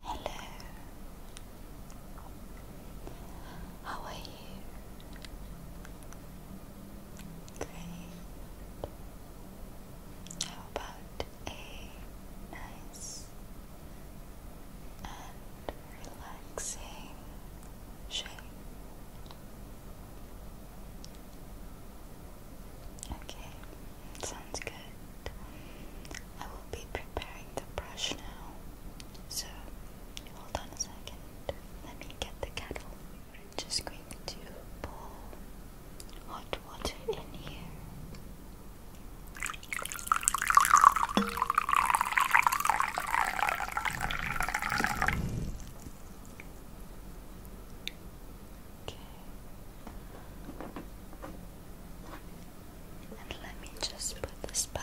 Hello. How are you? Great. How about a nice and relaxing shake? Okay. Sounds good. I will be preparing the brush now. So, hold on a second. Let me get the kettle. just going to pour hot water in here. Okay. And let me just put this back.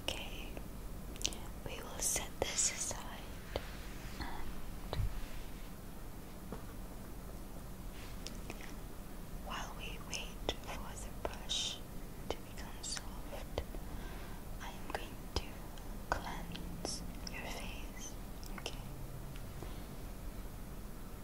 Okay, we will set this aside while we wait for the brush to become soft, I am going to cleanse your face. Okay.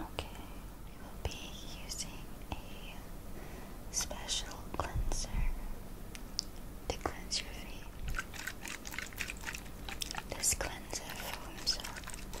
Okay, we'll be using a special cleanser to cleanse your feet. This cleanser foams up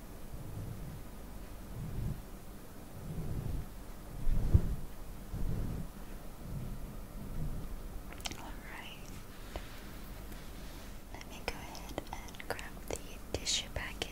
Alright. Let me go ahead and grab the tissue packet.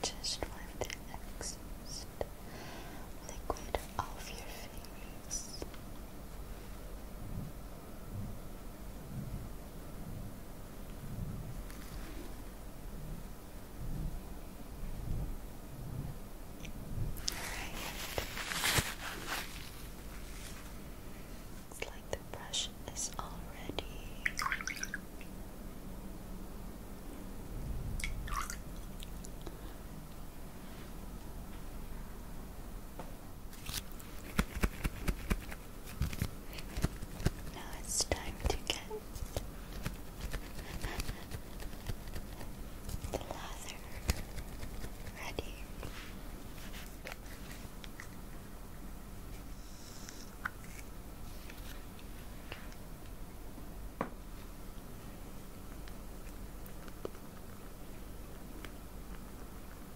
Just wipe the excess liquid off your face. Looks like the brush is all ready. Now it's time to get the lather ready.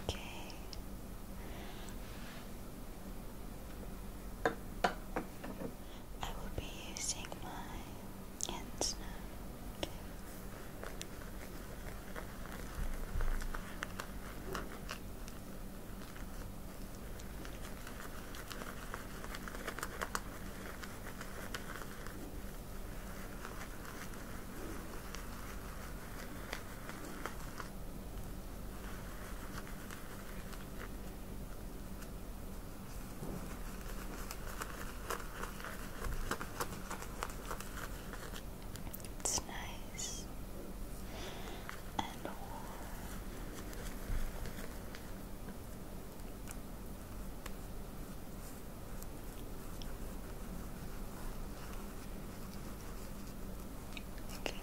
Okay. I will be using my hands it's nice and warm. Okay.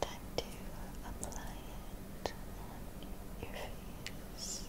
Time to apply it on your face.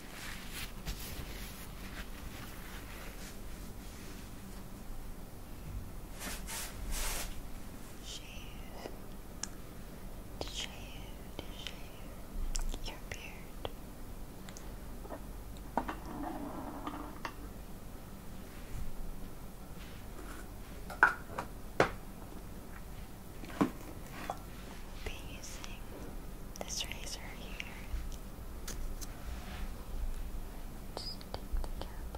Shave, shave, shave your beard using this razor here. Just take the cap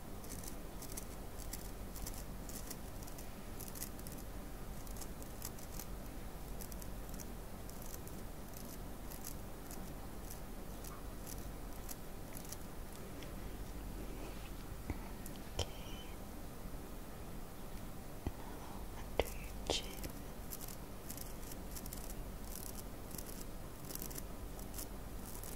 Okay. Now under your chin.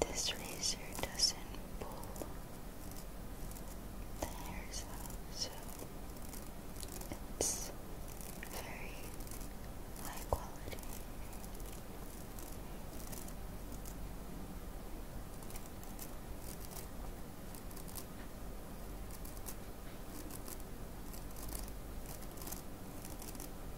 this razor doesn't pull the hairs out, so it's very high quality.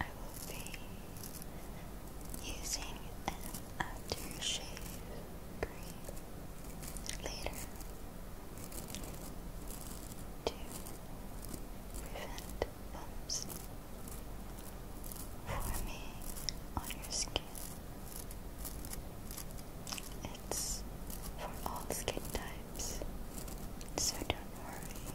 I will be using an aftershave cream later to prevent bumps forming on your skin. It's for all skin types, so don't worry.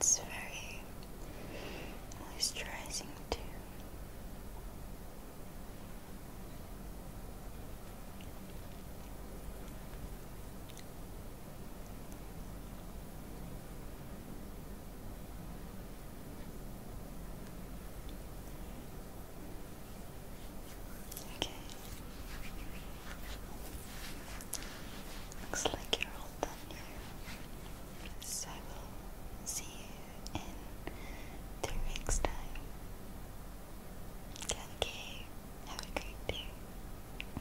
It's very moisturizing too. Okay. Looks like you're all done So I will see you in three weeks' time. Okay, have a great day.